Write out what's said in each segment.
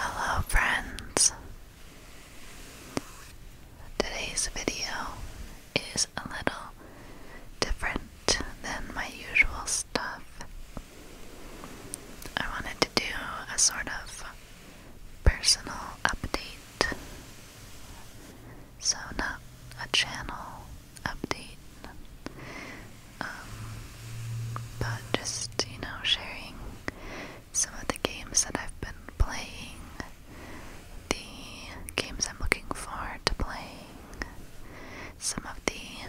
Hello, friends. Today's video is a little different than my usual stuff. I wanted to do a sort of personal update so not a channel update, um, but just you know sharing some of the games that I've been playing, the games I'm looking forward to playing, some of the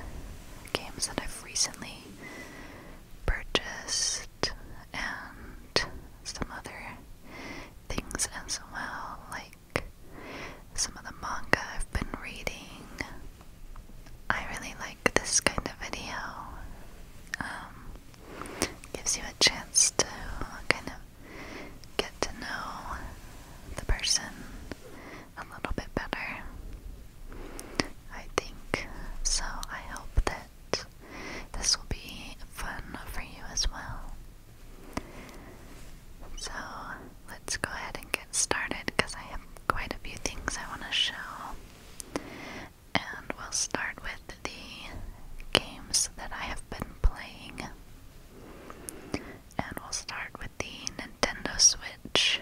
games that I've recently purchased and some other things as well, like some of the manga I've been reading. I really like this kind of video. Um, gives you a chance to kind of get to know the person a little bit better. I think so. I hope that this will be fun for you as well. So let's go ahead and get started because I have quite a few things I want to show. And we'll start with the games that I have been playing. And we'll start with the Nintendo Switch.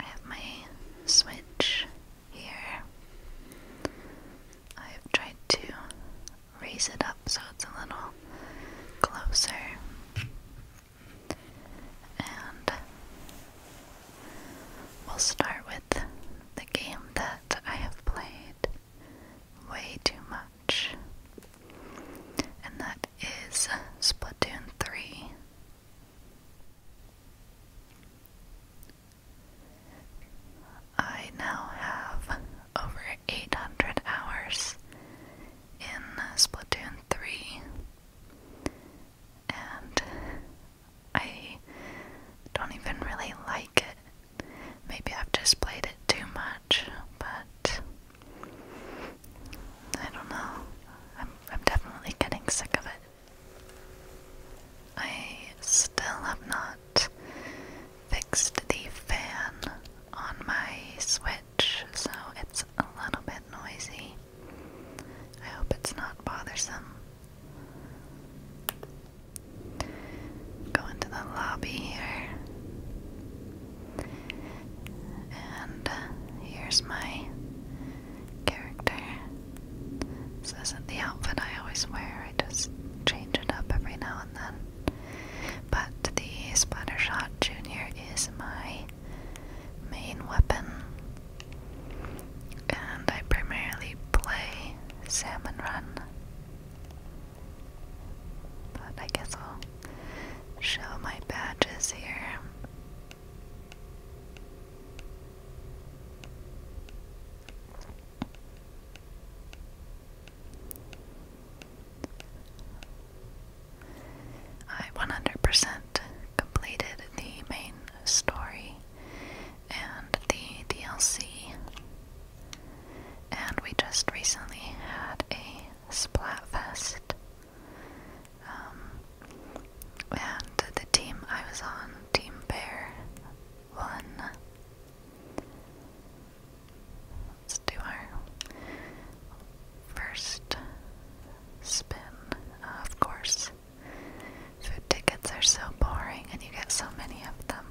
I have my switch here. I've tried to raise it up so it's a little closer. And we'll start with the game that I have played way too much. And that is Splatoon 3. I now have over 800 hours in Splatoon 3, and I don't even really like it Maybe I've just played it too much, but I don't know. I'm, I'm definitely getting sick of it. I still have not fixed the fan on my Switch, so it's a little bit noisy. I hope it's not bothersome. Go into the lobby here. And uh, here's my character. This isn't the outfit I always wear, I just change it up every now and then. But the Splattershot Jr. is my main weapon. And I primarily play Salmon Run. But I guess I'll show my badges here. I 100% completed the main story and the DLC and we just recently had a splat fest, um, and the team I was on, Team Bear, won. Let's do our first spin. Uh, of course, food tickets are so boring and you get so many of them.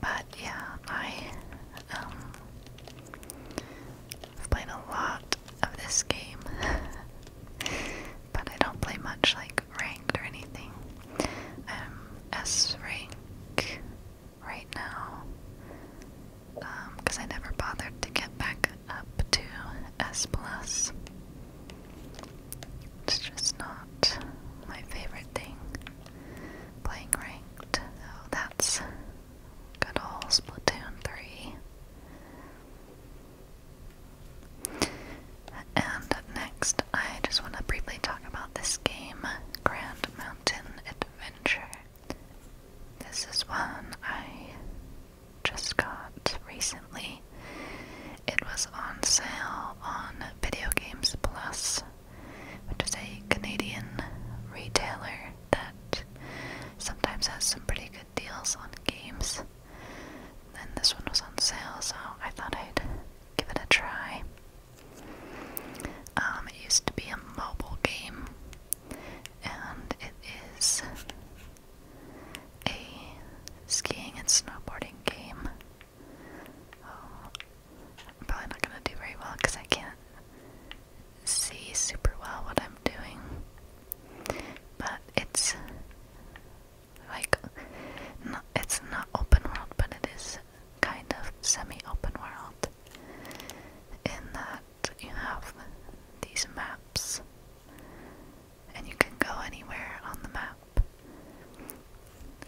But yeah, I um a lot of this game. but I don't play much like ranked or anything. S rank right now. because um, I never bothered to get back up to S plus. It's just not my favorite thing playing ranked. Oh, that's good old Splatoon 3. And next, I just want to briefly talk about this game, Grand Mountain Adventure. This is one I just got recently. It was on sale on Video Games Plus which is a Canadian retailer that sometimes has some pretty good deals on games. And this one was on sale, so I thought I'd give it a try. Um, it used to be a mobile game, and it is a skiing and snowboarding game I'm probably not gonna do very well because I can't see super well what I'm doing. But it's like it's not open world, but it is kind of semi-open world in that you have these maps and you can go anywhere on the map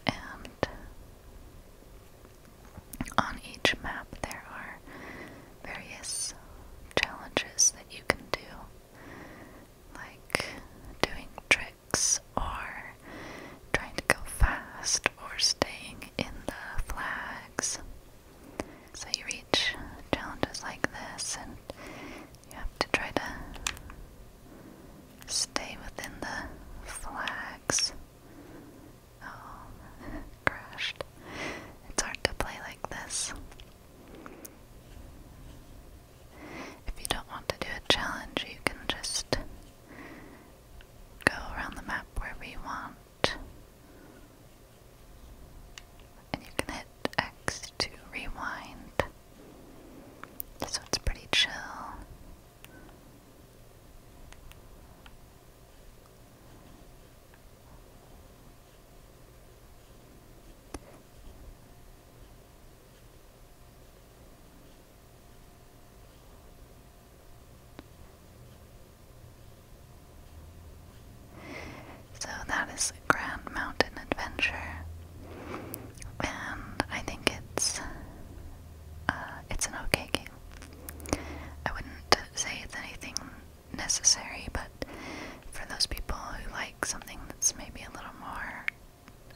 and on each map, there are various challenges that you can do, like doing tricks or trying to go fast or staying in the flags. So you reach challenges like this, and you have to try to stay within the flags. Oh, crashed. It's hard to play like this. If you don't want to do a challenge, you can just go around the map wherever you want. And you can hit X to rewind. So it's pretty chill. So that is Grand Mountain Adventure, and I think it's uh, it's an okay game. I wouldn't say it's anything necessary, but for those people who like something that's maybe a little more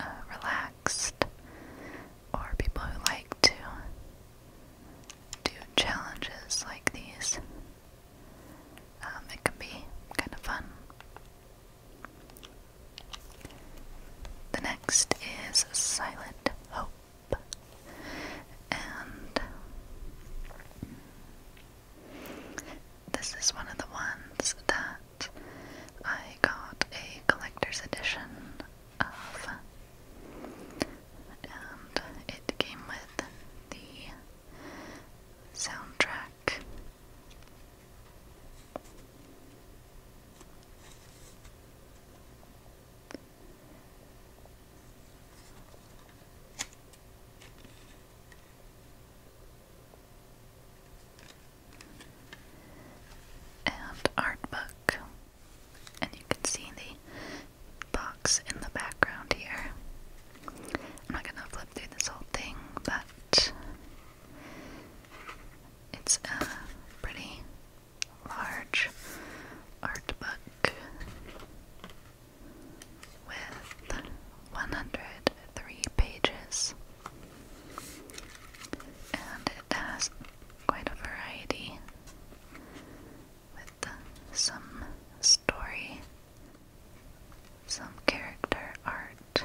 uh, relaxed, or people who like to do challenges like these, um, it can be kind of fun. The next is Silent Hope and this is one of the ones that I got a collector's edition of, and it came with the soundtrack and art book. And you can see the box in the background here. I'm not gonna flip through this whole thing, but it's uh, pretty large art book with 103 pages, and it has quite a variety with some story, some character art,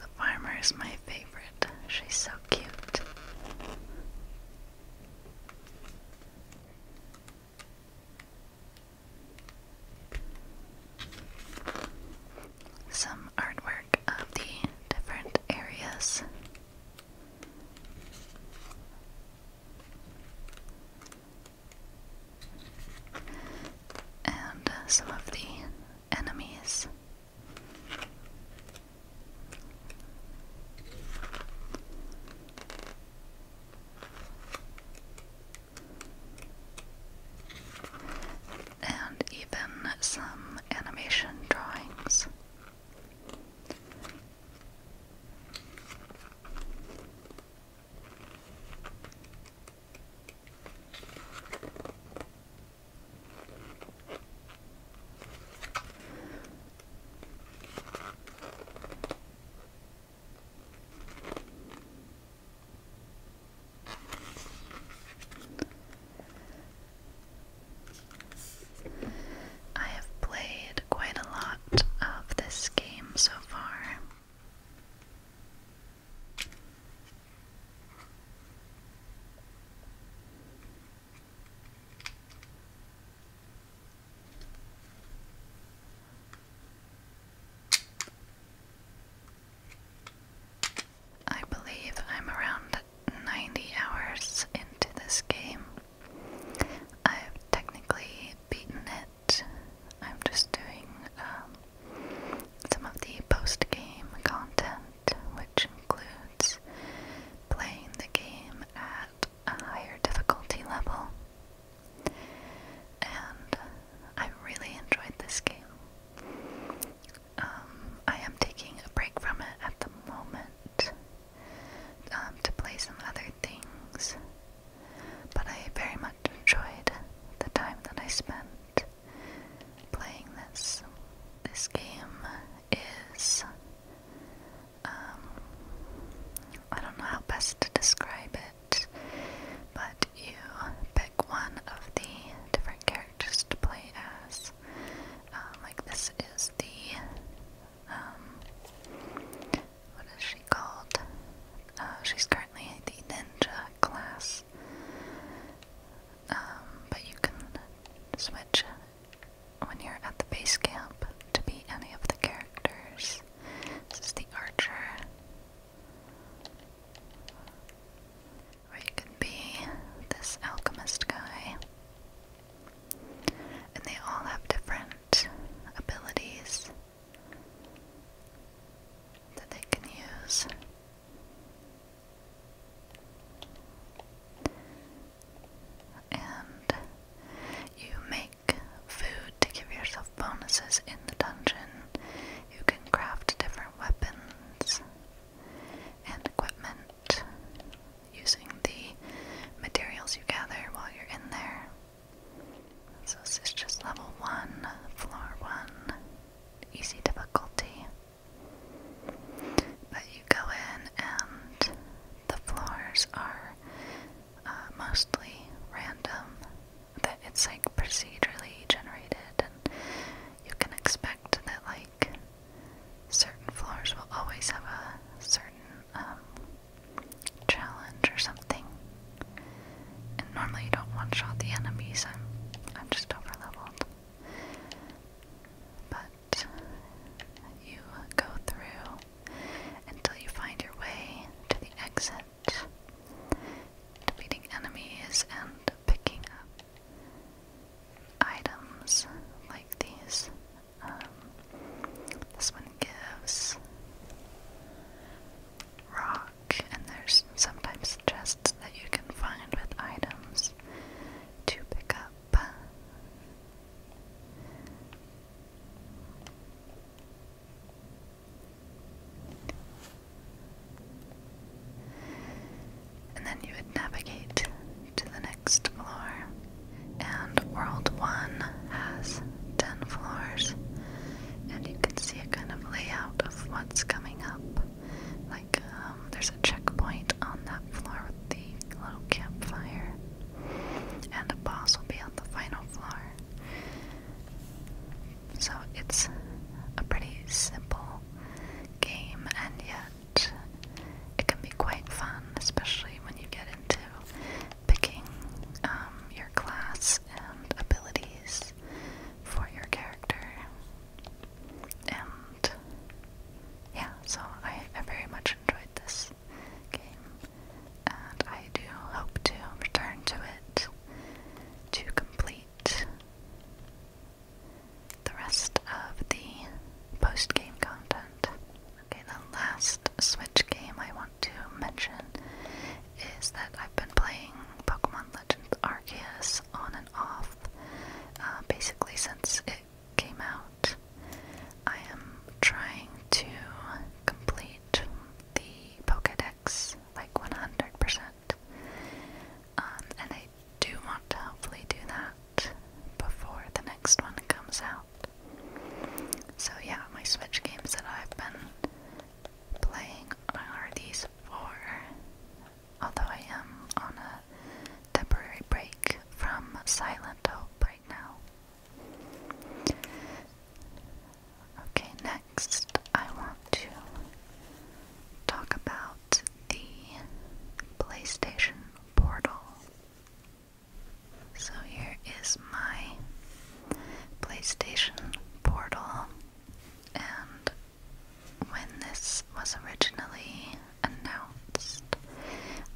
The farmer is my favorite. She's so cute. Some artwork of the different areas and some of the enemies. And even some animation drawings. I have played quite a lot of this game so far. I believe I'm around 90 hours into this game. I've technically beaten it. I'm just doing um, some of the post game content, which includes playing the game at a higher difficulty level. And I really enjoyed this game. Um, I am taking a break from it at the moment um, to play some other things, but I very much enjoyed the time that I spent playing this. This game is um I don't know how best to describe it, but you pick one of the different characters to play as. Um, like this is the um what is she called? Uh, she's currently the ninja class. Um, but you can switch when you're at the base camp to be any of the characters. This is the archer. Or you can be this alchemist guy. And they all have different abilities that they can use. And you make food to give yourself bonuses in the dungeon. You can craft different weapons and equipment using the materials you gather while you're in there. So this is just level 1, floor 1 easy difficulty. But you go in, and the floors are uh, mostly random. That it's like procedurally generated, and you can expect that like certain floors will always have a certain um, challenge or something. And normally you don't one shot the enemies, I'm I'm just over leveled. But you go through until you find your way to the exit, defeating enemies and picking up items like these. Um, this one gives rock, and there's sometimes chests that you can find with items to pick up. And then you would navigate to the next floor. And World 1 has 10 floors, and you can see a kind of layout of what's coming up like um, there's a checkpoint on that floor with the little campfire, and a boss will be on the final floor. So it's a pretty simple game, and yet it can be quite fun, especially when you get into picking um, your class and abilities for your character. And yeah, so I, I very much enjoyed this game, and I do hope to return to it to complete the rest of the post game content. Okay, the last Switch game I want to mention is that I've been playing Pokemon Legends Arceus on and off uh, basically since it came out. I am trying to complete the Pokedex like 100%. Um, and I do want to hopefully do that before the next one comes out. So, yeah, my Switch games that I've been playing are these four. Although I am on a temporary break from Silent Hope right now. Okay, next I want to talk about the PlayStation Portal. So here is my PlayStation Portal, and when this was originally announced,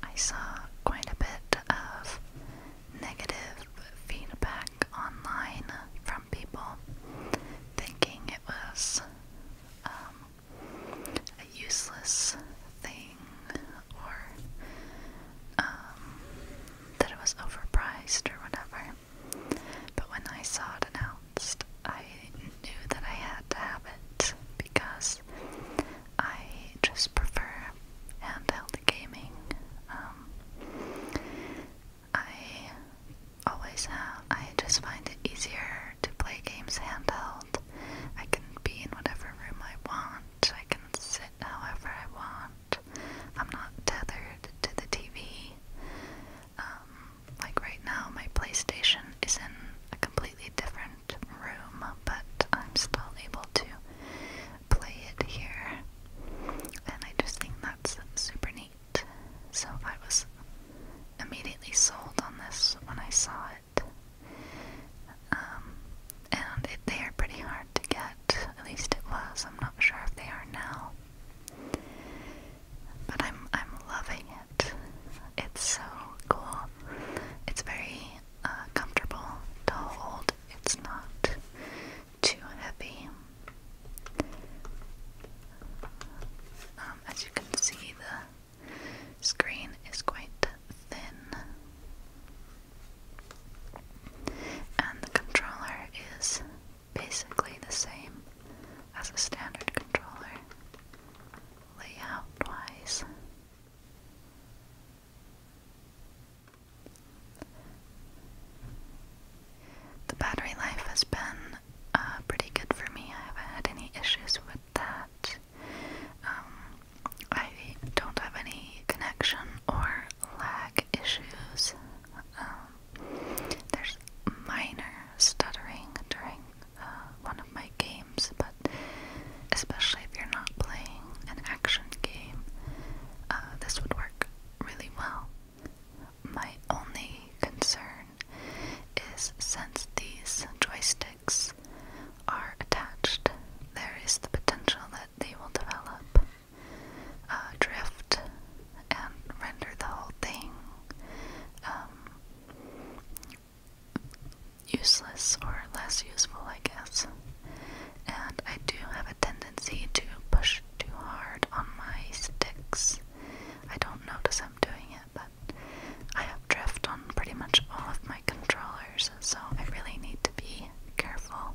I saw quite a bit of negative feedback online from people thinking it was um, a useless thing or um, that it was overpriced or whatever. But when I saw it announced, I knew that I had to have it because I just prefer handheld gaming. Um, I always have, I just find it easier to play games handheld. I can be in whatever room I want, I can sit however I want. I'm not tethered to the TV. Um, like right now, my PlayStation is in a completely different room, but I'm still able to play it here. And I just think that's super neat. So I was immediately sold on this when I saw it. Um, and they are pretty hard to get, at least it was. I'm not sure if they are now but I'm I'm loving it. It's so cool. It's very uh, comfortable to hold. It's not too heavy. Um, as you can see, the screen is quite thin. And the controller is basically the same as a standard controller layout wise. The battery life has been uh, pretty good for me. I haven't had any issues with that. Um, I don't have any connection or lag issues. Um, there's minor stuttering during uh, one of my games, but especially if you're not playing an action game, uh, this would work really well. My only concern is since these joysticks are attached, there is the potential that they will develop uh, drift and render the whole thing um, useless or less useful, I guess. And I do have a tendency to push too hard on my sticks. I don't notice I'm doing it, but I have drift on pretty much all of my controllers, so I really need to be careful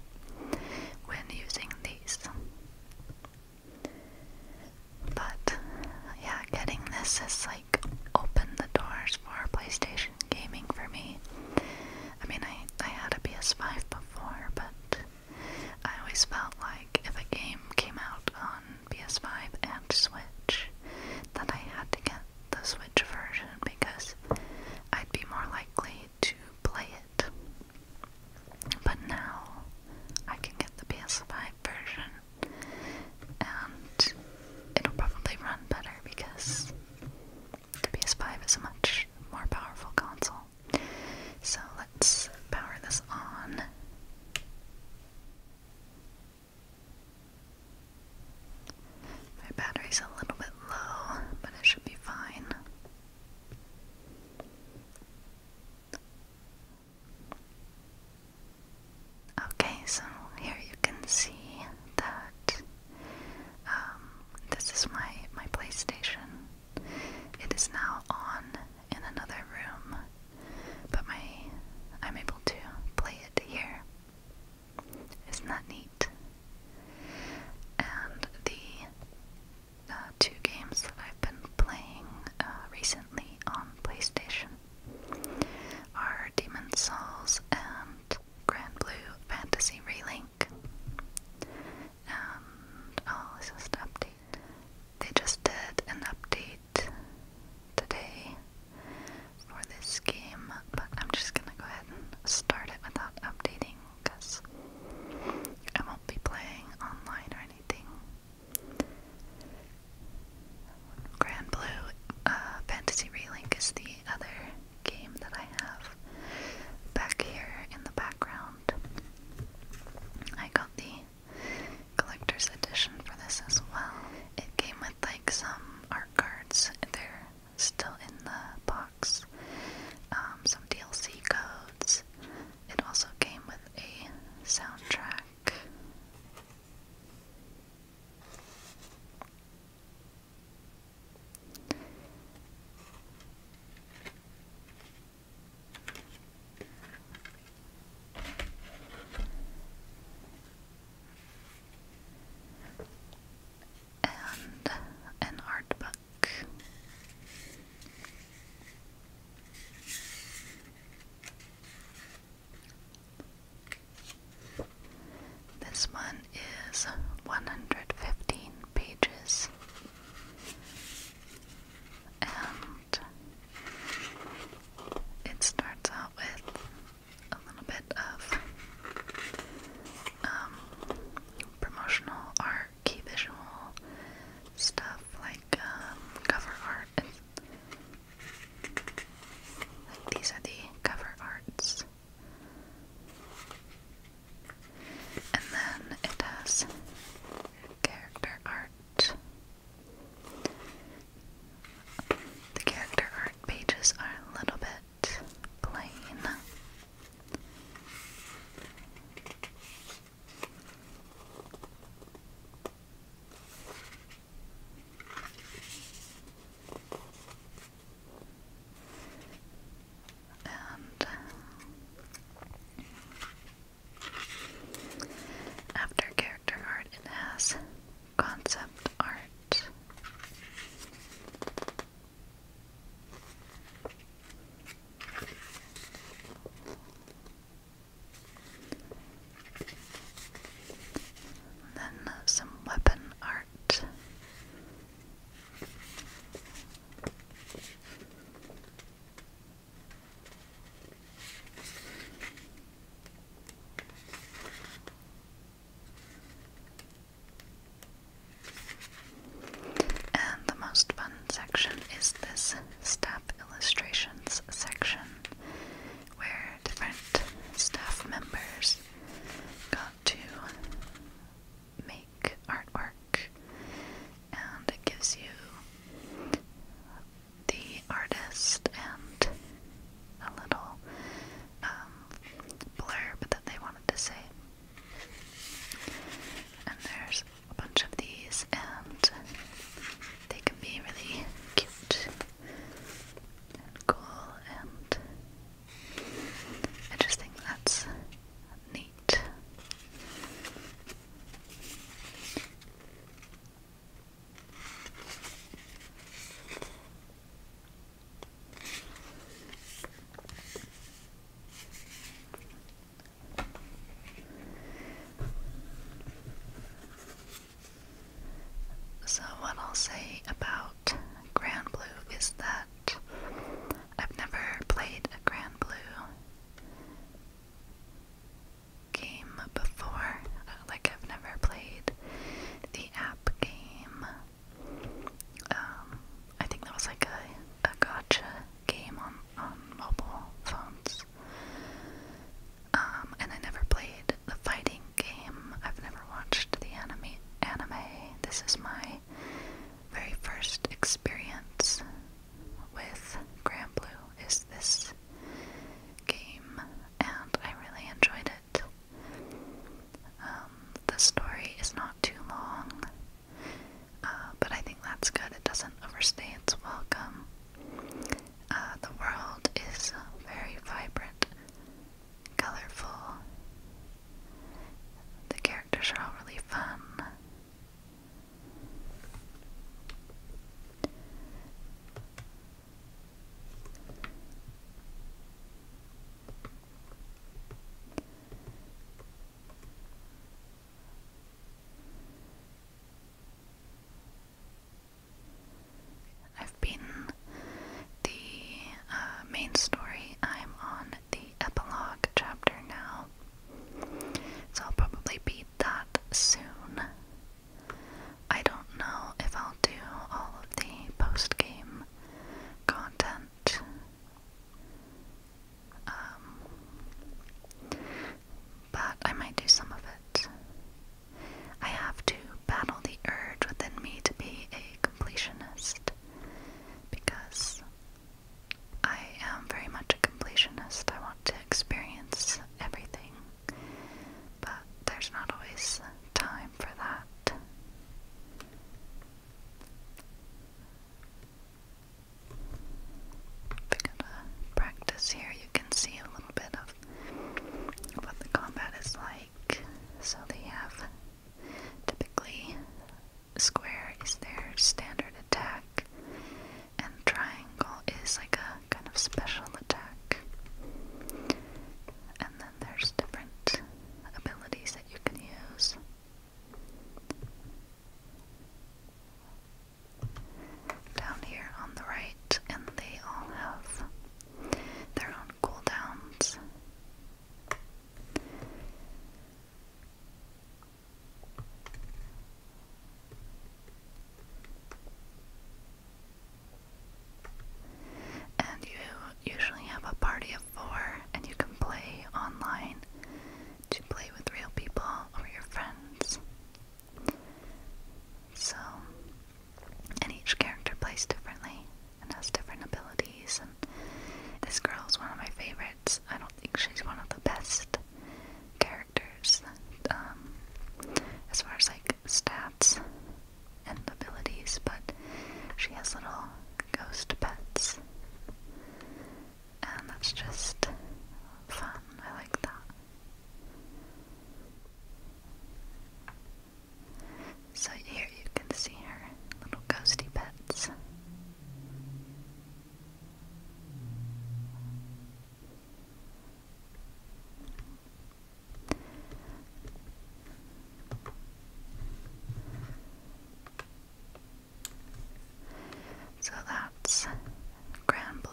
when using these. But yeah, getting this has like opened the doors for PlayStation gaming for me. I mean, I, I had a PS5 before, but I always felt like if a game came out on PS5 and Switch, then I had to get the Switch version because I'd be more likely to play it but now I can get the PS5 version and it'll probably run better because the PS5 is a much more powerful console. So let's power this on. My battery's a little bit low, but it should be fine. Okay, so here you can see that um, this is my, my PlayStation. It is now on in another room, but my I'm able to play it here. It's Isn't neat? And the uh, two games that I've been playing uh, recently on PlayStation are Demon Souls and Grand Blue Fantasy Relink. And oh, this is update. They just did an update today for this game, but I'm just gonna go ahead and start it without updating because I won't be playing online or anything. Grand Blue uh, Fantasy Relink is the other game that I have back here in the background. I got the collector's edition for this as well. It came with like some art cards. They're still in the box. Um, some DLC codes, it also came with a soundtrack. And an art book. This one is 115 pages. And it starts out with a little bit of um, promotional art key visual stuff like um, cover art. these are the cover arts. And then it has character art. The character art pages are a little bit plain after character art, it has concept art. Then some weapon art. And the most fun section is this staff illustrations section where different staff members got to make artwork and it gives you the artist and a little um, blurb that they wanted to say. And there's a bunch of these and they can be really cute and cool and I just think that's neat. So, what I'll say about Grand Blue is that I've never played a Grand Blue game before. Like, I've never played the app game. Um, I think that was like a, a gotcha game on, on mobile phones. Um, and I never played the fighting game. I've never watched the anime. Anime. This is my very first experience with Grand Blue. Is this game, and I really enjoyed it. Um, the story is not too long, uh, but I think that's good. It doesn't overstay its welcome. Uh, the world is very vibrant, colorful. The characters are all really fun. I've beaten the uh, main story. I'm on the epilogue chapter now, so I'll probably beat that soon. I don't know if I'll do all of the post game content. Um, but I might do some of it. I have to battle the urge within me to be a completionist because I am very much a completionist. I want to experience everything, but there's not always time for that we practice here. You can see a little bit of what the combat is like. So they have typically square is their standard attack, and triangle is like a kind of special attack. And then there's different abilities that you can use. Down here on the right, and they all have their own cooldowns. And you usually have a party of four, and you can play online to play with real people or your friends. So, and each character plays differently and has different abilities. And this girl is one of my favorites. I don't think she's one of the best characters um, as far as like stats and abilities, but she has little ghost pets. And that's just fun. I like that. So here you can see her little ghosty pets. So that's Grand Blue.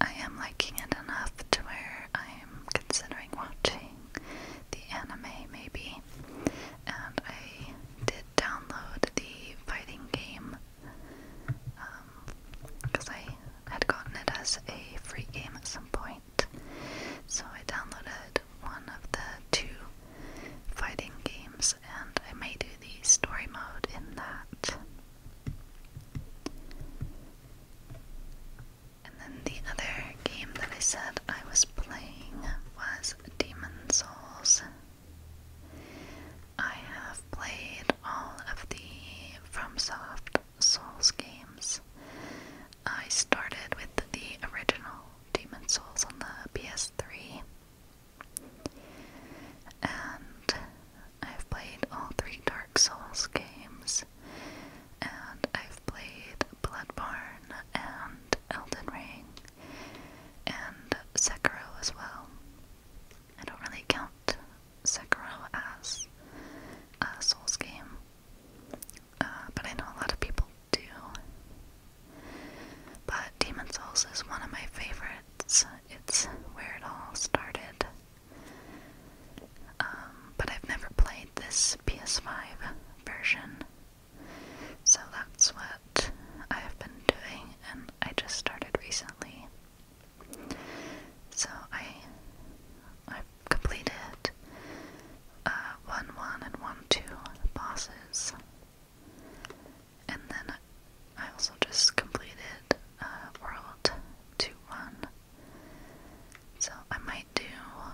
I am liking it enough to where I am considering watching the anime, maybe. And I did download the fighting game because um, I had gotten it as a free game at some point. So I downloaded one of the two fighting games, and I may do the story mode in that. And then the other game that I said I was playing was Demon Souls. I have played all of the FromSoft Souls games. I started with the original Demon Souls on the PS3. And I've played all three Dark Souls games, and I've played Bloodborne and Elden Ring, and Sekiro as well. I don't really count Sekiro as a Souls game, uh, but I know a lot of people do. But Demon Souls is one of my favorites it's where it all started. Um, but I've never played this PS5 version, so that's what I have been doing, and I just started recently. So I I've completed uh, one one and one two bosses and then I also just completed uh, World 2 1. So I might do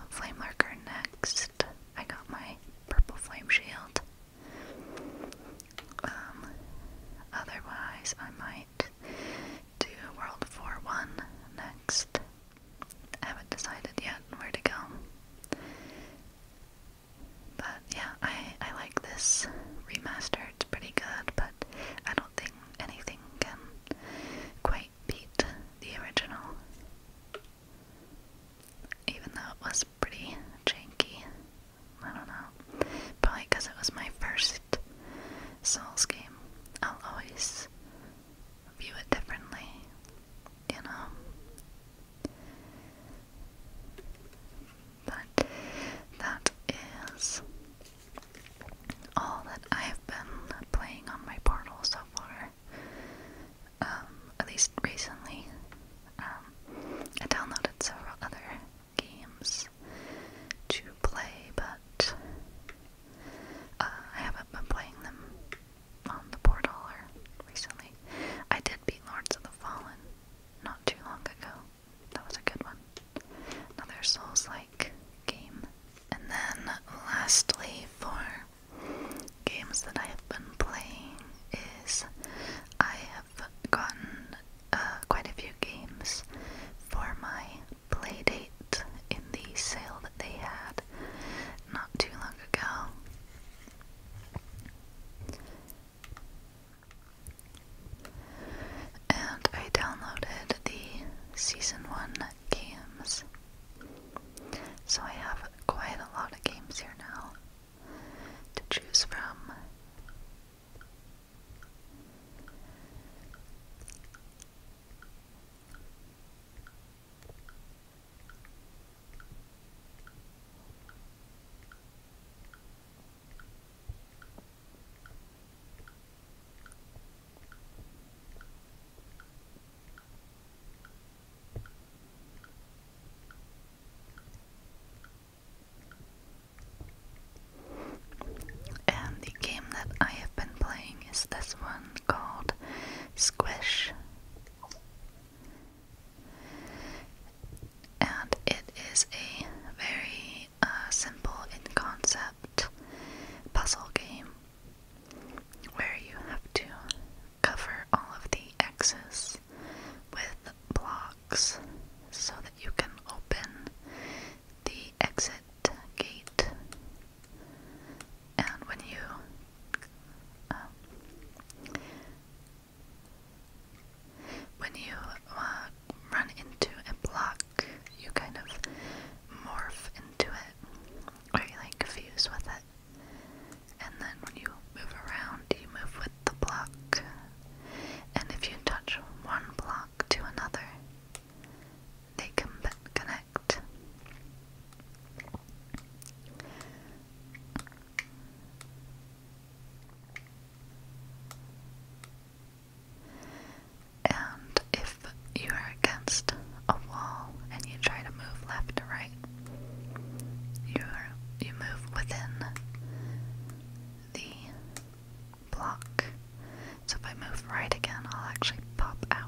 Flame Lurker next. I got my purple flame shield. Um, otherwise, I might do World 4 1 next. I haven't decided yet where to go. But yeah, I I like this remaster. It's pretty good, but I don't think anything can quite beat the original. Even though it was pretty janky. I don't know. Probably because it was my first Souls game. I'll always view it differently, you know. But that is all that I've been playing on my portal so far. Um, at least recently. Um, I downloaded several other games to play, but uh, I haven't been playing them on the portal or recently. I did beat Lords of the Fallen not too long ago, that was a good one. Another Souls like game. And then, lastly, for games that I have been playing, is I have gotten uh, quite a few games for my play date in the sale that they had not too long ago. And I downloaded the season one games. So I have quite a lot of games here now to choose from. And the game that I have been playing is this one called Squish. And it is a very a simple in concept puzzle game where you have to cover all of the exits with blocks so that you can open the exit gate. And when you um, when you uh, run into a block, you kind of morph into it, or you like fuse with it. And then when you move around, you move with the block. And if you touch one block to another, they can connect. And if you are against a wall and you try to move left to right, you you move within the block. So if I move right again, I'll actually pop out.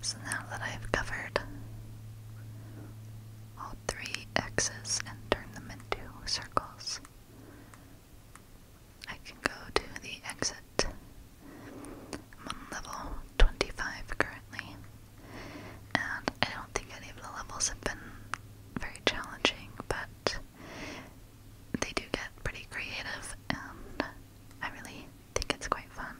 So now that I've covered all three X's and turned them into circles, I can go to the exit. I'm on level 25 currently, and I don't think any of the levels have been very challenging, but they do get pretty creative, and I really think it's quite fun.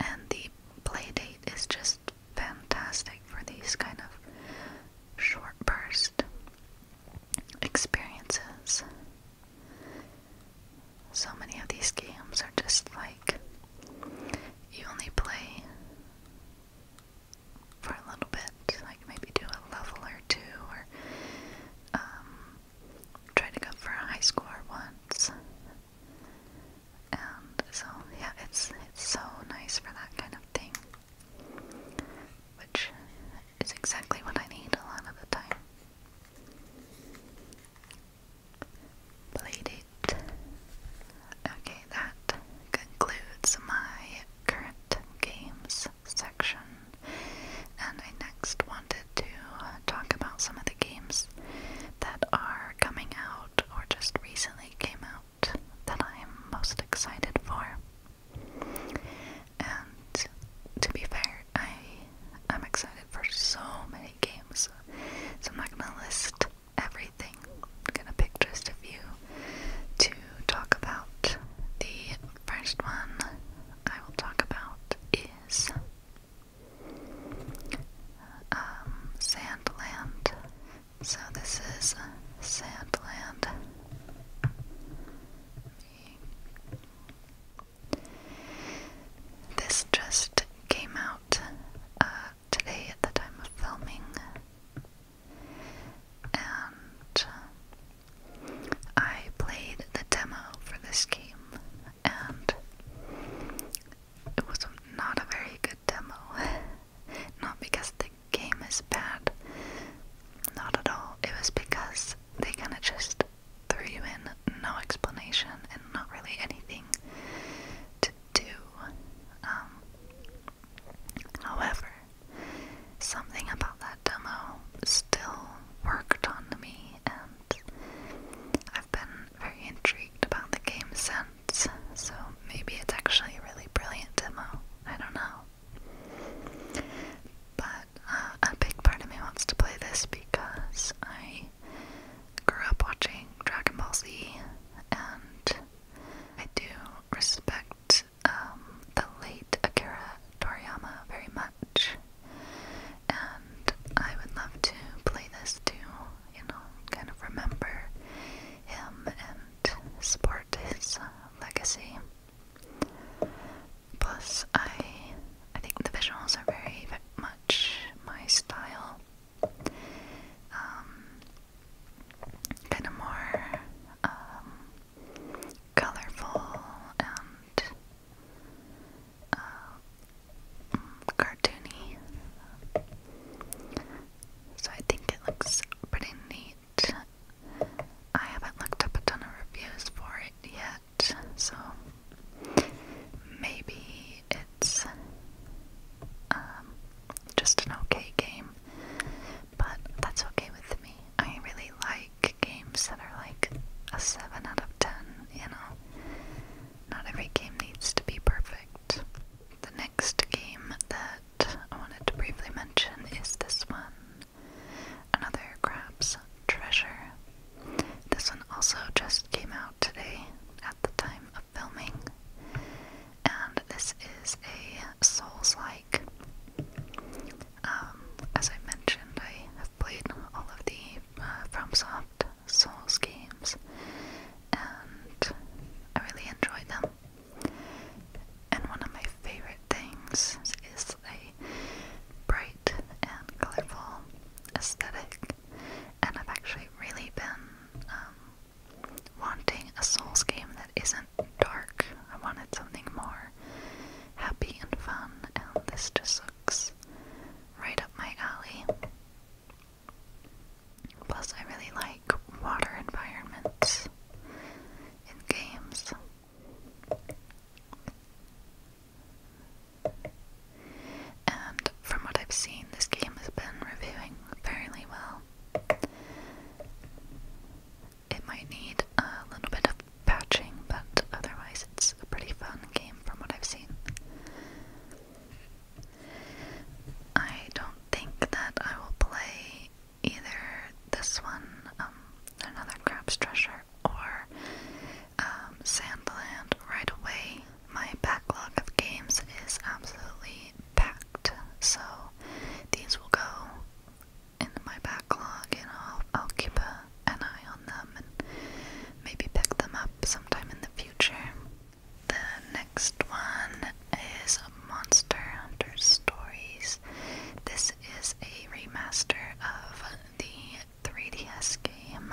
And the play date is just fantastic for these kind of short burst experiences. So many of these games are just like you only play for a little bit, like maybe do a level or two, or um, try to go for a high score once. And so, yeah, it's it's so nice for that kind of thing, which is exactly what I need a lot of the time. Played it. Okay, that concludes my current games section. And I next wanted to talk about some of the games that are coming out or just recently came out that I'm most excited for. And to be fair, I am excited for so many games, so I'm not gonna list everything I'm gonna pick just a few to talk about. The first one I will talk about is um, Sandland. So this is Sandland. This just came out uh, today at the time of filming and I played the demo for this game, and it was not a very good demo. Not because the game is bad, not at all. It was because they kind of just threw you in, no explanation, and not really anything to do. Um, However, something about that demo still worked on me, and I've been very intrigued about the game since, so maybe it's actually a really brilliant demo. I don't know. But uh, a big part of me wants to play this because I grew up watching Dragon Ball Z, and I do respect um, the late Akira Toriyama very much, and I would love to play this to, you know, kind of remember him and support his uh, legacy. Plus, I I think the visuals are very much my style. Um, kind of more um, colorful and uh, cartoony. So I think it looks pretty neat. I haven't looked up a ton of reviews for it yet, so maybe it's um, just an okay game. But that's okay with me. I really like games that are like a 7 out of 10, you know? Not every game needs to be perfect. The next game that I wanted to briefly mention is this one Another Crab's Treasure. This one also just came out today at the time of filming. And this is a Souls like. Um, as I mentioned, I have played all of the uh, FromSoft Souls games, and I really enjoy them. And one of my favorite things is a bright and colorful aesthetic, and I've actually really been um, wanting a Souls game that isn't dark. I wanted something more happy and fun, and this just looks right up my alley. Plus, I really like water environments in games. And from what I've seen, this game has been reviewing fairly well. It might need a little bit of patching, but otherwise it's a pretty fun game from what I've seen. I don't think that I will play either this one, um, another Crab's Treasure, or um, Sandland right away. My backlog of games is absolutely packed, so these will go in my backlog and I'll, keep an eye on them and maybe pick them up sometime in the future. The next one is Monster Hunter Stories. This is a remaster of the 3DS game,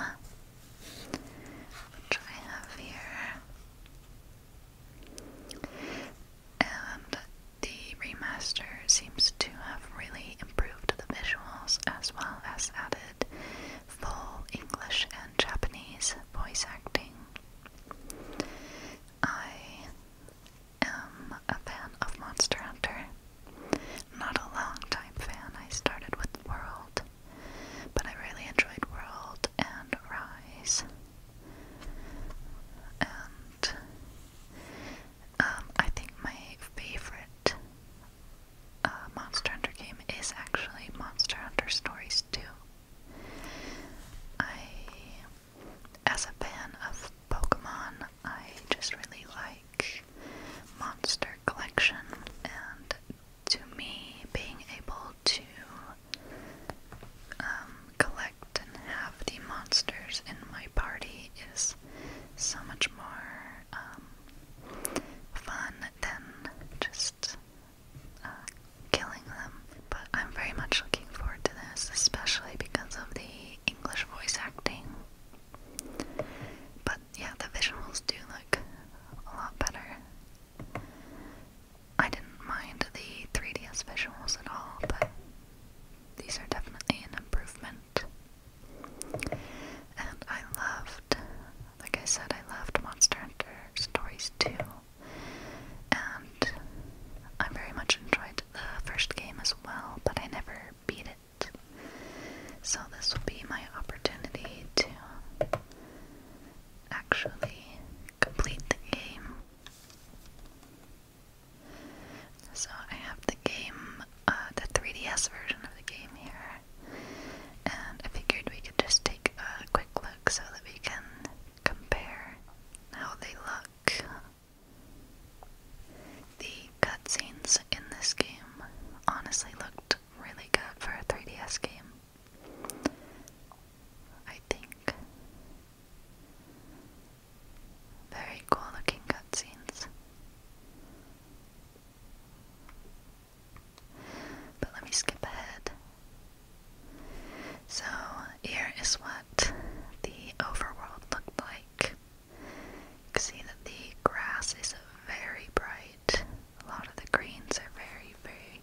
which I have here and the remaster seems to have really improved the visuals as well as added full English and Japanese voice acting. I am a fan of Monster Hunter. Not a long time fan, I started with World, but I really enjoyed World and Rise and um, I think my favorite uh, Monster Hunter game is actually Monster Hunter Stories 2. I, as a fan of Pokemon, I just really like Monster Collection, and to me, being able to um, collect and have the monsters in my party is so much more um, fun than just uh, killing them. But I'm very much looking forward to this, especially because of the English voice acting. But yeah, the visuals do look a lot better. I didn't mind the 3DS visuals at all, but these are definitely an improvement. And I loved, like I said, I loved Monster Hunter Stories 2. And I very much enjoyed the first game as well, but I never beat it. So this will be my opportunity to actually complete the game. So I have the game, uh, the 3DS version of the game here, and I figured we could just take a quick look so that we can compare how they look. The cutscenes in this game honestly looked really good for a 3DS game. I think. Very cool looking cutscenes. But let me skip ahead. So, here is what the overworld looked like. You can see that the grass is very bright. A lot of the greens are very, very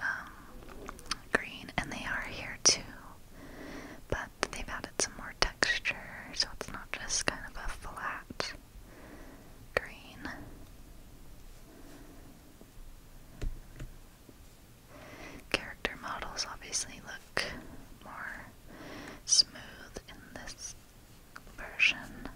um, green, and they are here too but they've added some more texture, so it's not just kind of a flat green. Character models obviously look more smooth in this version.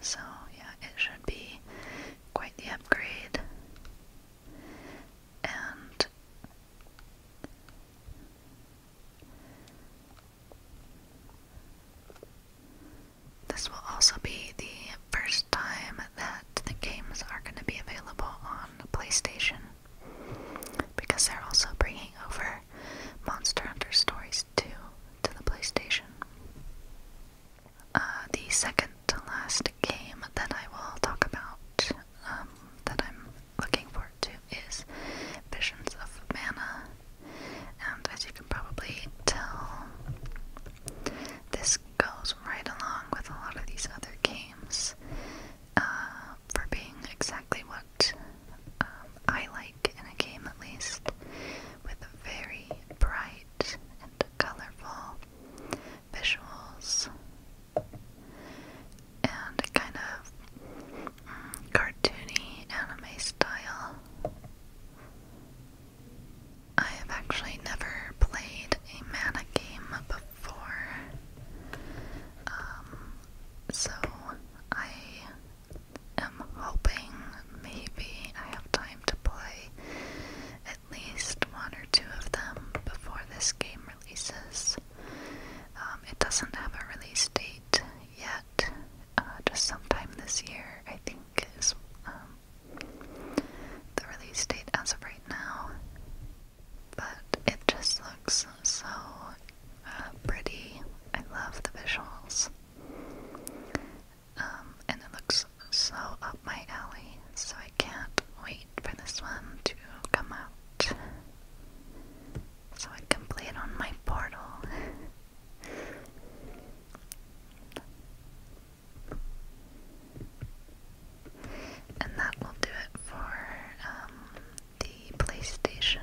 So, yeah, it should be quite the upgrade. And this will also be the first time that the games are going to be available on PlayStation because they're also bringing over Monster Hunter Stories 2 to the PlayStation. Uh, the second to last game that I will talk about um, that I'm looking forward to is Visions of Mana. And as you can probably tell, this goes right along with a lot of these other games uh, for being exactly what um, I like in a game, at least, with very bright and colorful visuals and a kind of mm, cartoony anime style. I have actually never played a mana game before, um, so I am hoping maybe I have time to play at least one or two of them before this game releases. Um, it doesn't have a release date yet, uh, just sometime this year, I think, um, the release date as of right now, but it just looks so uh, pretty. I love the visuals. Um, and it looks so up my alley, so I can't wait for this one to come out. So I can play it on my portal. And that will do it for um, the PlayStation.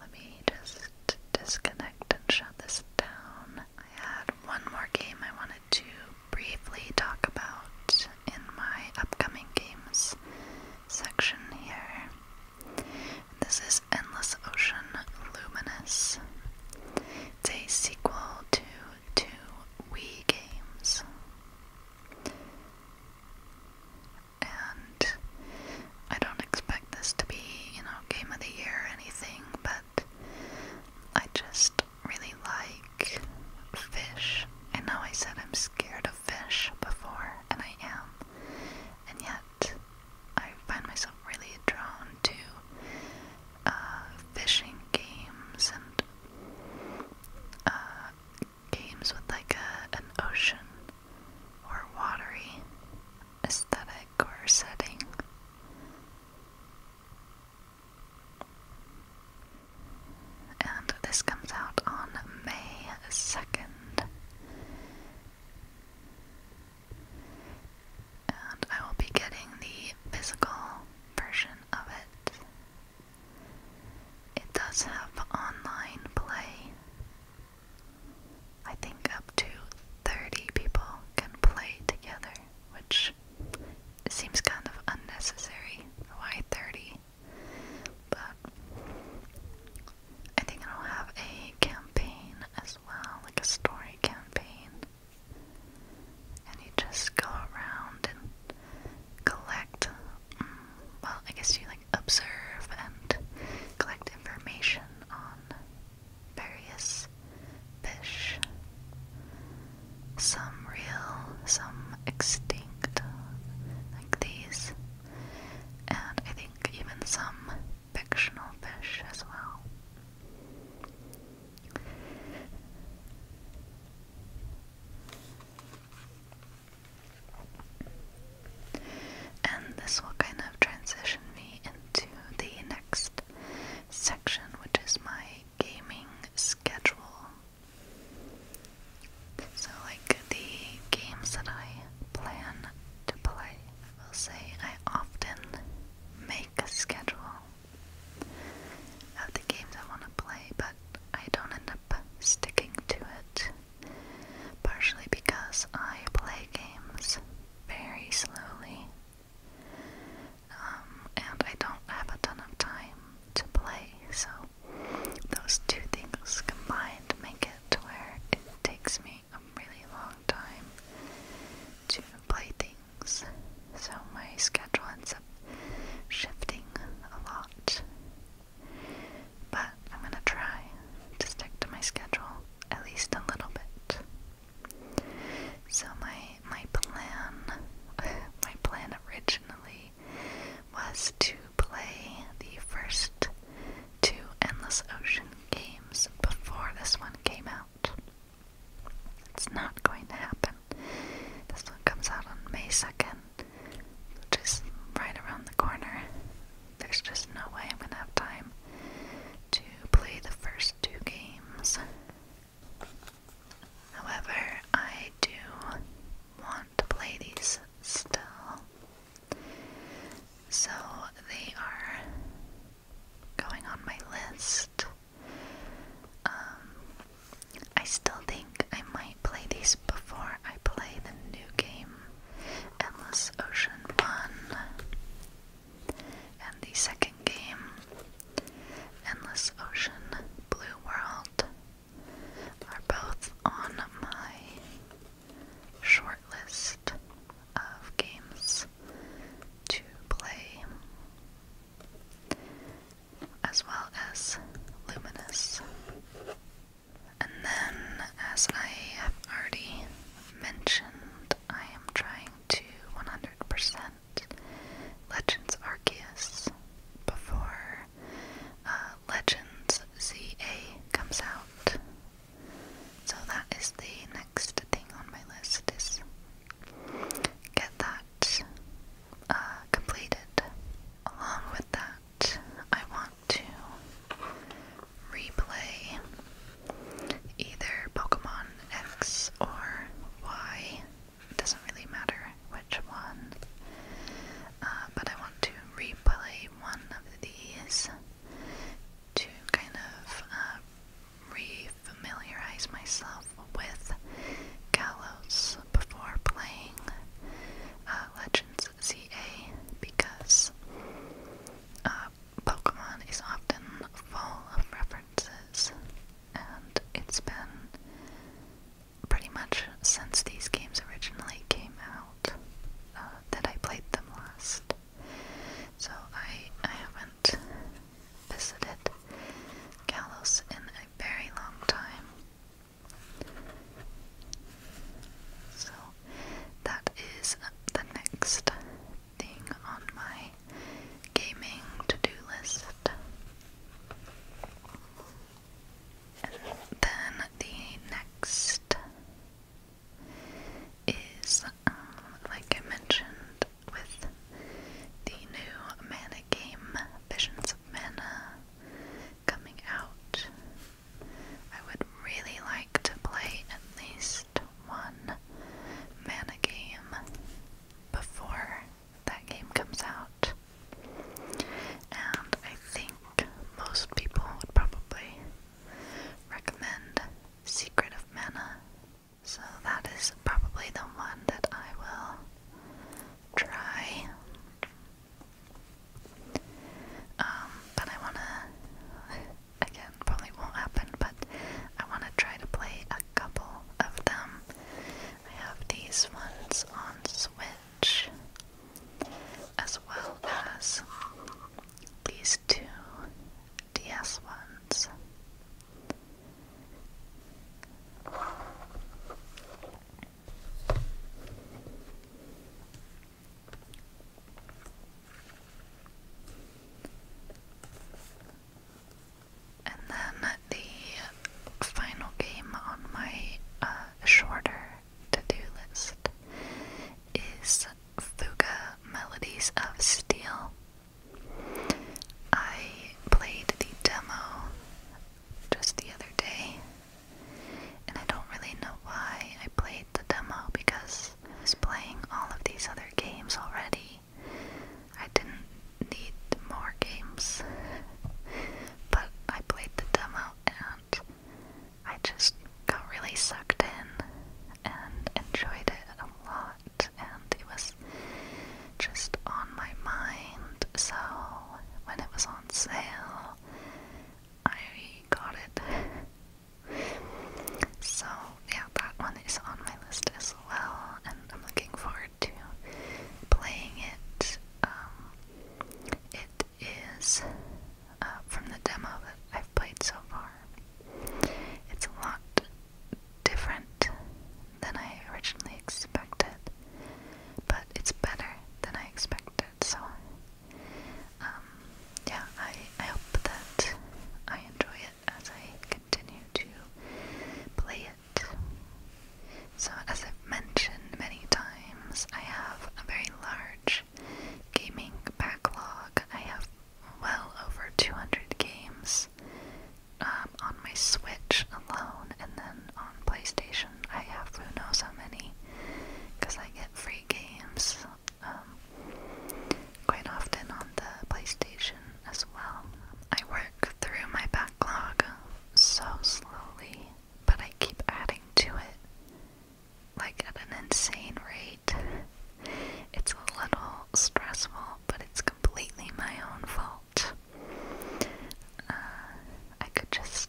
Let me just disconnect and shut this down. I had one more game I wanted to briefly talk about in my upcoming games section here. This is Endless Ocean Luminous. It's a sequel to to Wii games. And I don't expect this to be, you know, game of the year or anything, but I just really like fish. I know I said I'm scared of fish before, and I am, and yet I find myself really drawn to uh, fishing games and uh, games with like a, an ocean or watery aesthetic or setting. And this comes out on May 2nd. And I will be getting the physical version of it. It does have online play. I think up to 30 people can play together, which seems kind of unnecessary. Why 30? But I think it'll have a campaign as well, like a story campaign and you just go around and collect. Mm, well, I guess you like observe and collect information on various fish. Some real, some extinct, like these, and I think even some fictional fish as well. And this will kind of transition me into the next section, which is my gaming schedule. So, like the games that I plan to play, I will say I often make a schedule of the games I want to play, but I don't end up sticking to it. Partially because I play games very slowly, um, and I don't have a ton of time to play, so those two things combined make it to where it takes me a really long time to play things so my schedule ends up shifting a lot. But I'm gonna try to stick to my schedule at least a little bit. So my my plan my plan originally was to play the first two Endless Ocean games before this one came out. It's not going to happen. This one comes out on May 2nd, which is right around the corner. There's just no way I'm going to have time to play the first two games. However, I do want to play these still. So they are going on my list. Um, I still think I might play these before I play the new game, Endless Ocean 1, and the second game, Endless Ocean Blue World, are both on my short list of games to play as well as luminous. And then, as I have already mentioned, I am trying to 100% Legends Arceus before uh, Legends ZA comes out. So that is the next next thing on my list is get that uh, completed. Along with that, I want to replay either Pokemon X or Y. doesn't really matter which one. Uh, but I want to replay one of these to kind of uh, re familiarize myself with Galos before playing uh, Legends ZA because uh, Pokemon is often full of references, and it's been pretty much since these games originally came out uh, that I played them last. So I, I have visited Kalos in a very long time. So that is uh, the next thing on my gaming to-do list. And then the next is, um, like I mentioned, with the new mana game Visions of Mana coming out. I would really like to play at least one mana game before that game comes out. And I think most people would probably recommend Secret of Mana so that is probably the one that I will try. Um, but I wanna, again, probably won't happen, but I wanna try to play a couple of them. I have these ones on Switch, as well as these two DS ones. And then the final game on my uh, shorter to do list is Fuga Melodies of Steel I played the demo just the other day, and I don't really know why I played the demo because I was playing all of these other games already. I didn't need more games, but I played the demo and I just got really sucked in and enjoyed it a lot and it was just on my mind. So when it was on sale, I got it. so yeah, that one is on my list as well, and I'm looking forward to playing it. Um, it is uh, from the demo that I've played so far. It's a lot different than I originally expected, but it's better than I expected. So, um, yeah, I, I hope that I enjoy it as I continue to play it. So, as I've mentioned many times, I have a very large gaming backlog. I have well over 200 games um, on my Switch alone, and then on PlayStation, I have who knows how many, because I get free games um, quite often on the PlayStation as well. I work through my backlog so slowly, but I keep adding to it, like at an insane rate. It's a little stressful, but it's completely my own fault. Uh, I could just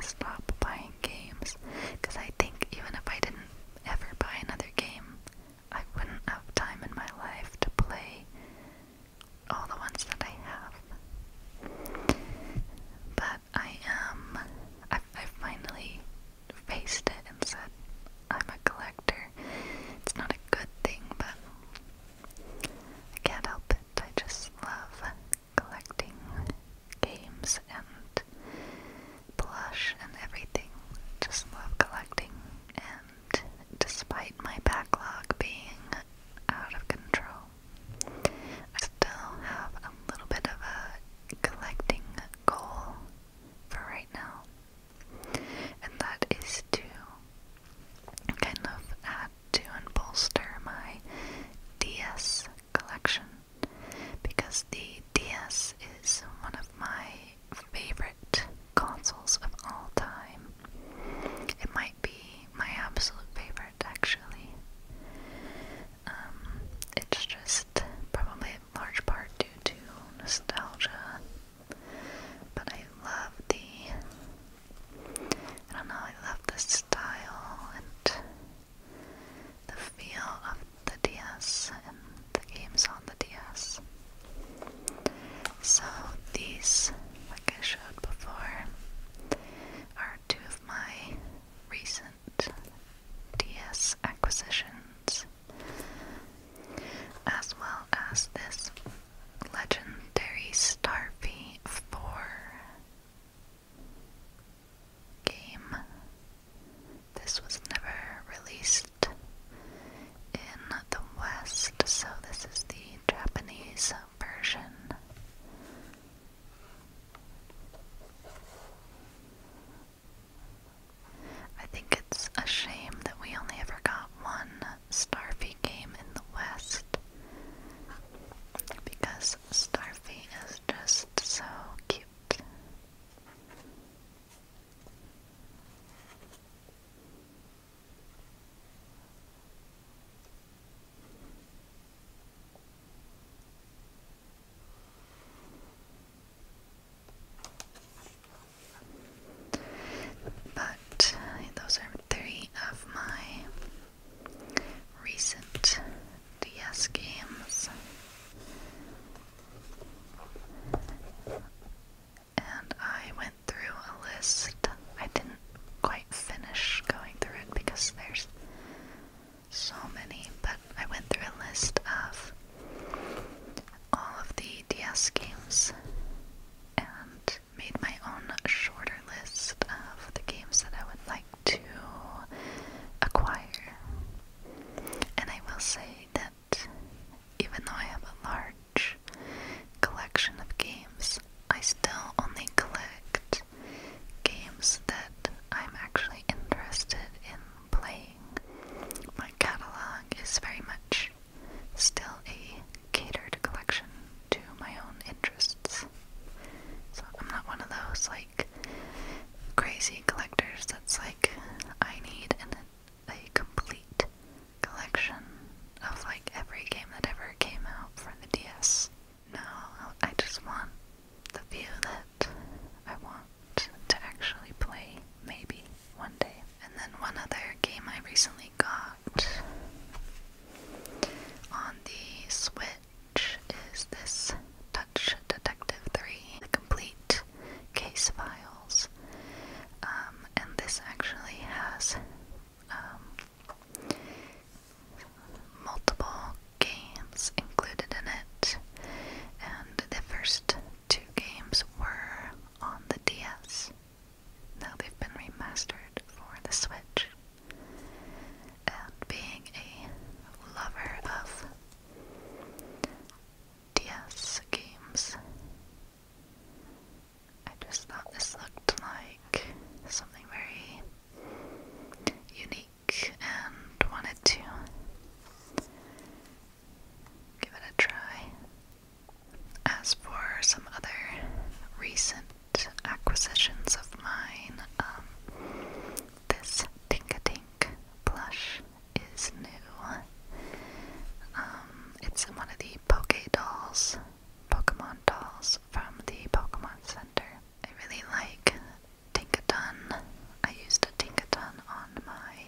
stop buying games because I think even if I didn't ever buy another game, I wouldn't have time in my life to play all the ones that I have. But I am, i finally faced it and said, I'm a collector. It's not a good thing, but I can't help it, I just love collecting games and plush and everything. Just love collecting. And despite my backlog being out of control, I still have a little bit of a collecting goal for right now and that is to kind of add to and bolster my DS collection because the DS is one of my favorite consoles of all time. It might be my absolute favorite, actually. Um, it's just probably in large part due to nostalgia but I love the, I don't know, I love the style and the feel of the DS and the games on the DS. So these, like I showed before, are two of my recent DS acquisitions, as well as this Legendary Starfy 4 game. This was never released in the West, so this is the Japanese version. I think it's a shame that we only ever got one Starfy game in the West because Starfy is just so cute. But those are three of my recent DS games. And I went through a list. I didn't quite finish going through it because there's so many, but I went through a list of all of the DS games and made my own shorter list of the games that I would like to acquire. And I will say that even though I have a large collection of games, I still only collect games that I'm actually interested in playing. My catalog is very much still a catered collection to my own interests. So I'm not one of those like crazy collectors that's like I need a complete collection of like every game that ever came out for the DS. No, I just want the few that I want to actually play maybe one day. And then one other game I recently got on the Switch is this Touch Detective 3, the complete case files. Um, and this actually has um, multiple games included in it, and the first two games were on the DS. Now they've been remastered for the Switch. And being a lover of DS games, I just thought this looked like something very unique and wanted to give it a try. As for some other recent acquisitions of mine, um, this Tinkatink plush is new. Um, it's one of the Poké dolls, Pokemon dolls from the Pokemon Center. I really like Tinkaton. I used a Tinkaton on my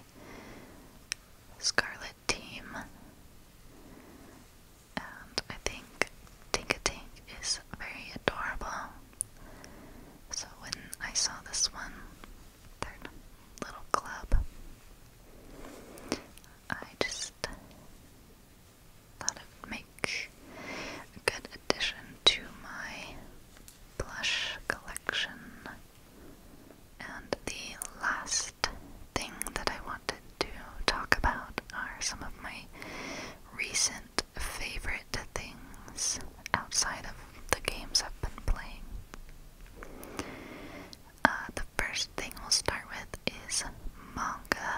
Scarlet team. And I think Tinka Tink is very adorable. So when I saw this one, little club, I just thought it would make a good addition to my blush collection. And the last thing that I wanted to talk about are some of my recent favorite things outside of the games I've been playing. Uh, the first thing we'll start with is manga.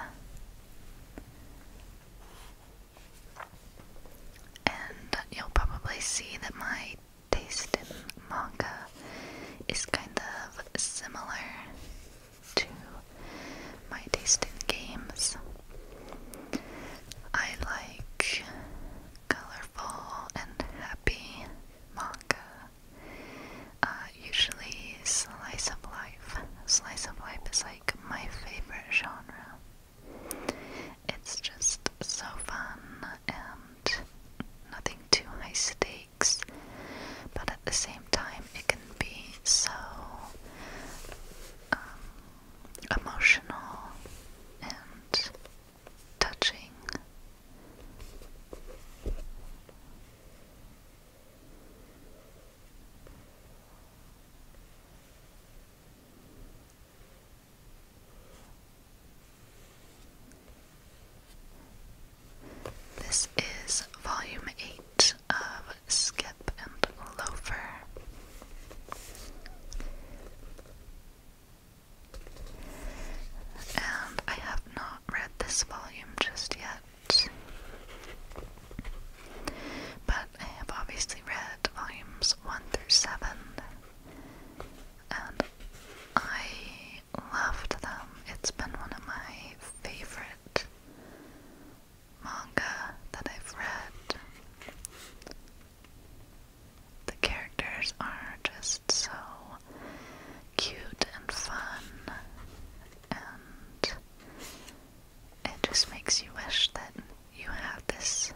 And you'll probably see that my taste in manga is kind of similar to my taste in games. I like colorful and happy manga. Uh, usually slice of life. Slice of life is like my favorite genre. It's just so fun and nothing too high stakes but at the same time, it can be so um, emotional and touching. This is volume 8 of Skip and Loafer. And I have not read this volume just yet. But I have obviously read volumes 1 through 7. And I loved them. It's been one of my favorite manga that I've read. The characters are just so cute and fun, and it just makes you wish that you had this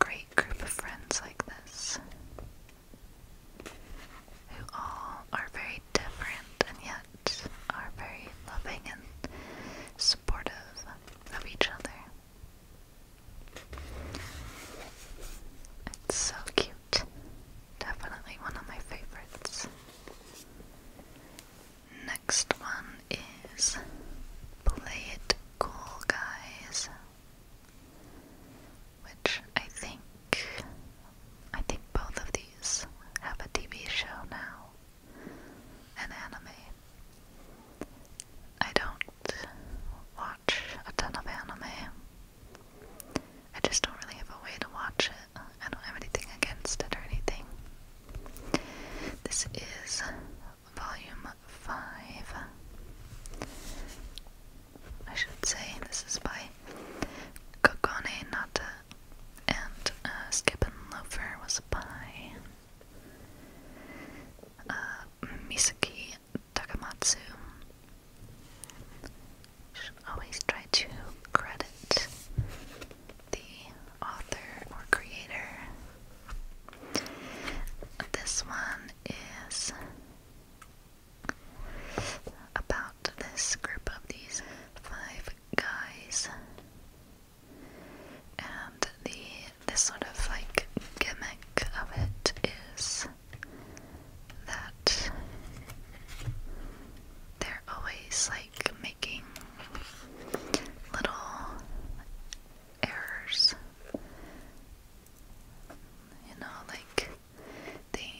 great group of friends like this who all are very different and yet are very loving and supportive of each other. It's so cute. Definitely one of my favorites. Next one is Play It Cool Guys which I think I think both of these have a TV show now, an anime. I don't watch a ton of anime. I just don't really have a way to watch it. I don't have anything against it or anything. This is volume 5. I should say. This is by Kogane Nata, and uh, Skip and Loafer was by uh, Misaki Takamatsu. Should always try to credit the author or creator. This one is about this group of these five guys and the this sort of like gimmick of it is that they're always like making little errors you know, like they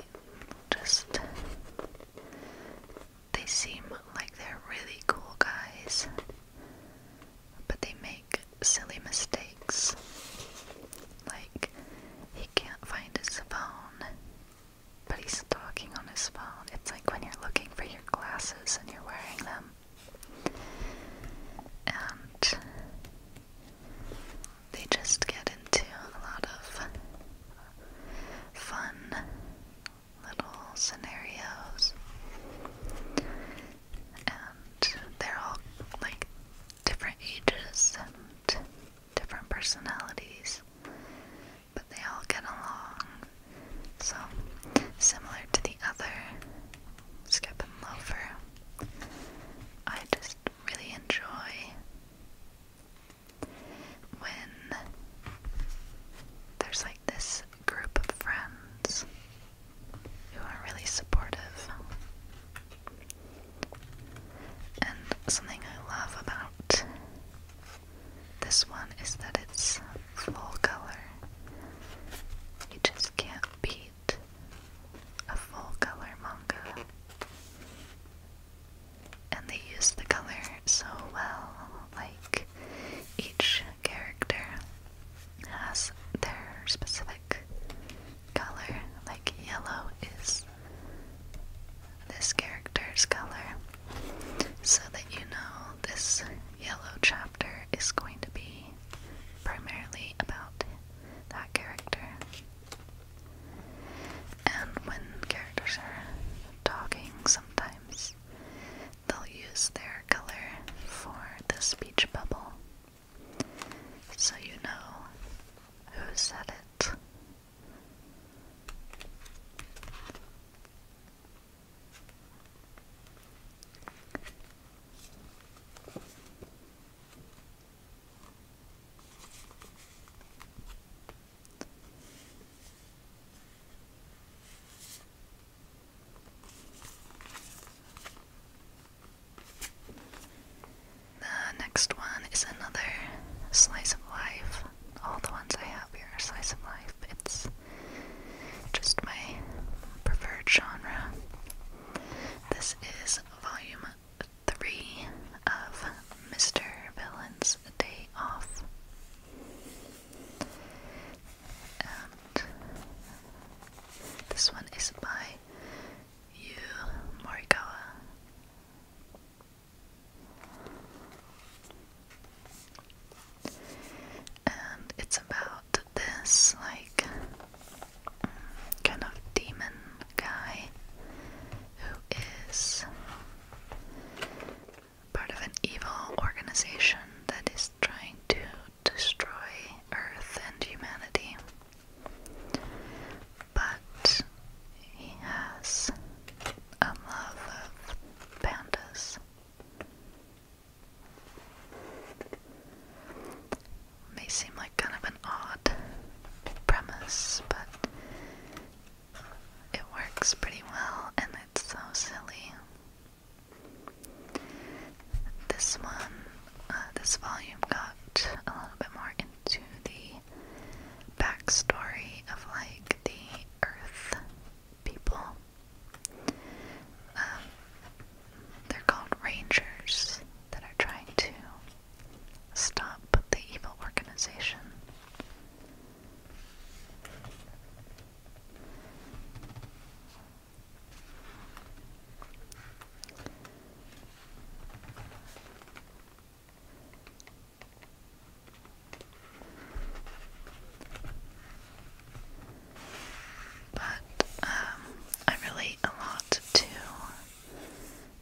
just they seem like they're really cool guys, but they make silly mistakes. Like he can't find his phone, but he's talking on his phone. It's like when you're looking for your glasses and you're wearing them. And they just get into a lot of fun little scenarios. And they're all like different ages and different personalities, but they all get along. So, similar to the other Skip and Loafer, I just really enjoy when there's like this group of friends who are really supportive. And something I love about this one is that it's full color. You just can't beat a full color manga and they use the color so well. Like each character has their specific color. Like yellow is this character's color, so that you know this yellow chapter is going to be primarily about that character. And when characters are talking, sometimes they'll use their color for the speech bubble so you know who said it. The next one is another slice of life. All the ones I have here are slice of life. It's just my preferred genre. This is volume three of Mr. Villain's Day Off. And this one is by Yu Morikawa. And it's about this, like, kind of demon guy who is part of an evil organization that is trying to destroy Earth and humanity. But he has a love of pandas may seem like kind of an odd premise, but it works pretty well and it's so silly. This one, uh, this volume got a little bit more into the backstory of like the Earth people. Um, they're called rangers that are trying to Stop the evil organization. But um, I relate a lot to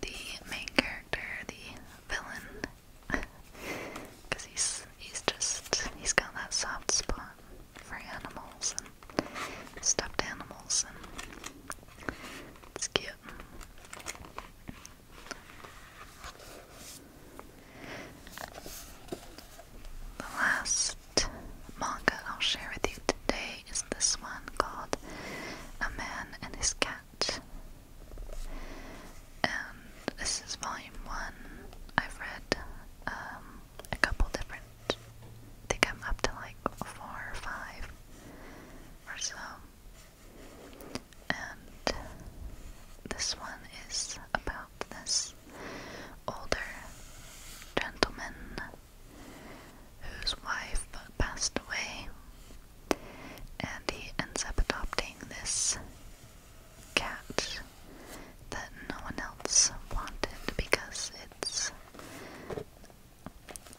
the main character, the villain, because he's he's just he's got that soft spot for animals and stuffed animals, and it's cute. The last manga I'll share with you today is this one called A Man and His Cat. And this is volume one. I've read um, a couple different. I think I'm up to like four or five or so. And this one is about this older gentleman whose wife passed away and he ends up adopting this cat that no one else wanted because it's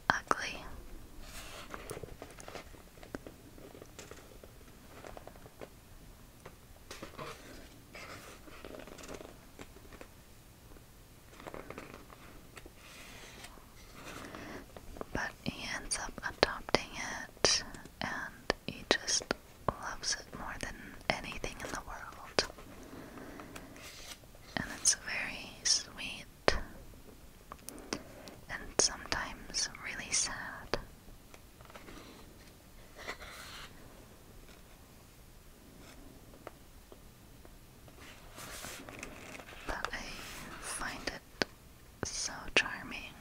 ugly. But he ends up adopting it and he just loves it more than anything in the world. And it's very sweet and sometimes really sad but I find it so charming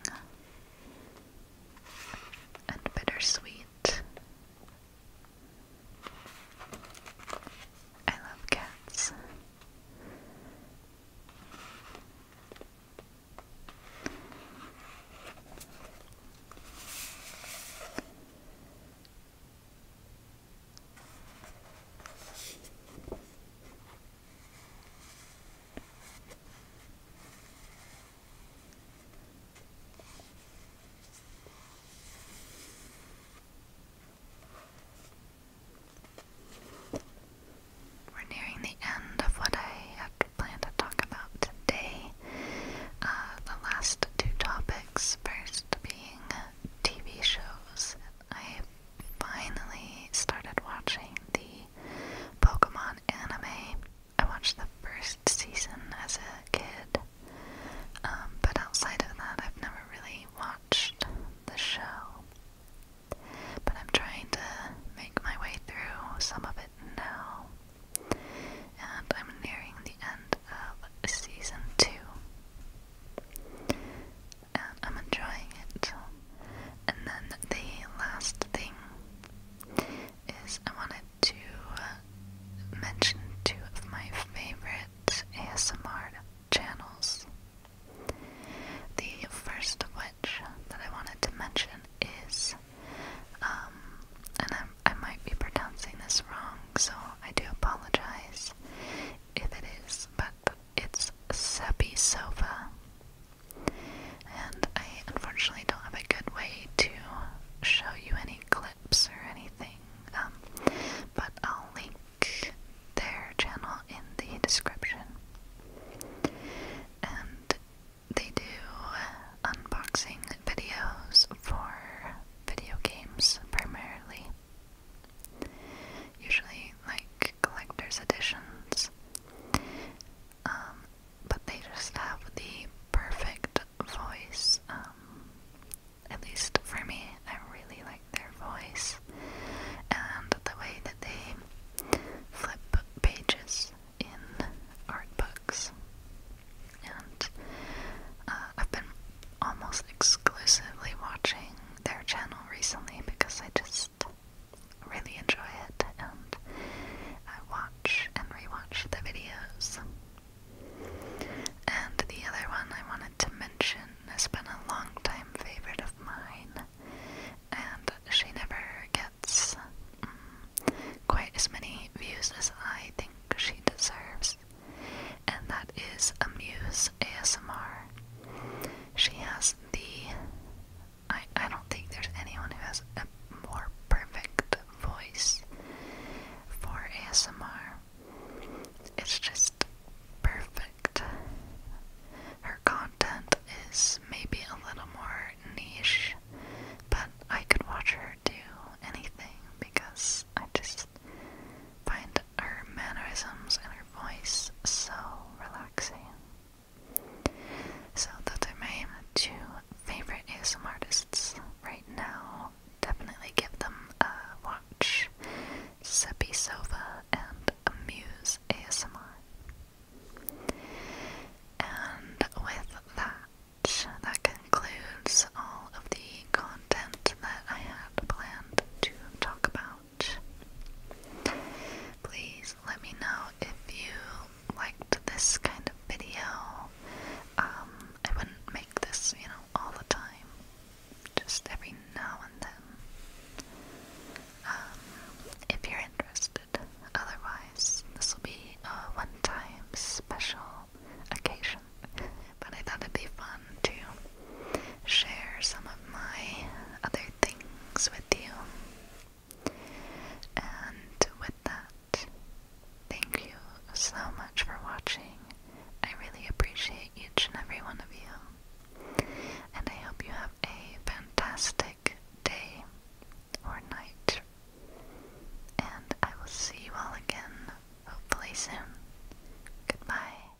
and bittersweet. I love cats. We're nearing the end of what I had planned to talk about today. Uh, the last two topics, first being TV shows finally started watching the Pokemon anime. I watched the first season as a kid, um, but outside of that, I've never really watched the show. But I'm trying to make my way through some of it now, and I'm nearing the end of season two and I'm enjoying it. And then the last thing is I wanted to uh, mention two of my favorite ASMR channels. The first of which that I wanted to mention is, um, and i I might be pronouncing this wrong, so I do apologize if it is, but it's Seppi And I unfortunately don't have a good way to show you any clips or anything, um, but I'll link their channel in the description. And they do unboxing videos for video games primarily. Usually, like collector's editions. Um, but they just have the perfect voice. Um, at least for me, I really like their voice and the way that they flip pages in art books. And uh, I've been almost exclusively watching their channel recently because I just really enjoy it and I watch and rewatch the videos. And the other one I wanted to mention has been a long time favorite of mine, and she never gets mm, quite as many views as I think she deserves, and that is Amuse ASMR. She has the. I, I don't think there's anyone who has a more perfect voice for ASMR. It's just perfect. Her content is maybe a little more niche, but I could watch her do anything because I just find her mannerisms and her voice so relaxing. So those are my two favorite ASMR artists right now. Definitely give them a watch. Seppi Sova and Amuse ASMR. And with that, that concludes all of the content that I had planned to talk about. Please let me know if you liked this kind of video. Um, I wouldn't make this, you know, all the time. Just every now and then. Um, if you're interested. Otherwise, this will be a one-time special occasion. But I thought it'd be fun too share some of my other things with you. And with that, thank you so much for watching. I really appreciate each and every one of you. And I hope you have a fantastic day or night. And I will see you all again, hopefully soon. Goodbye.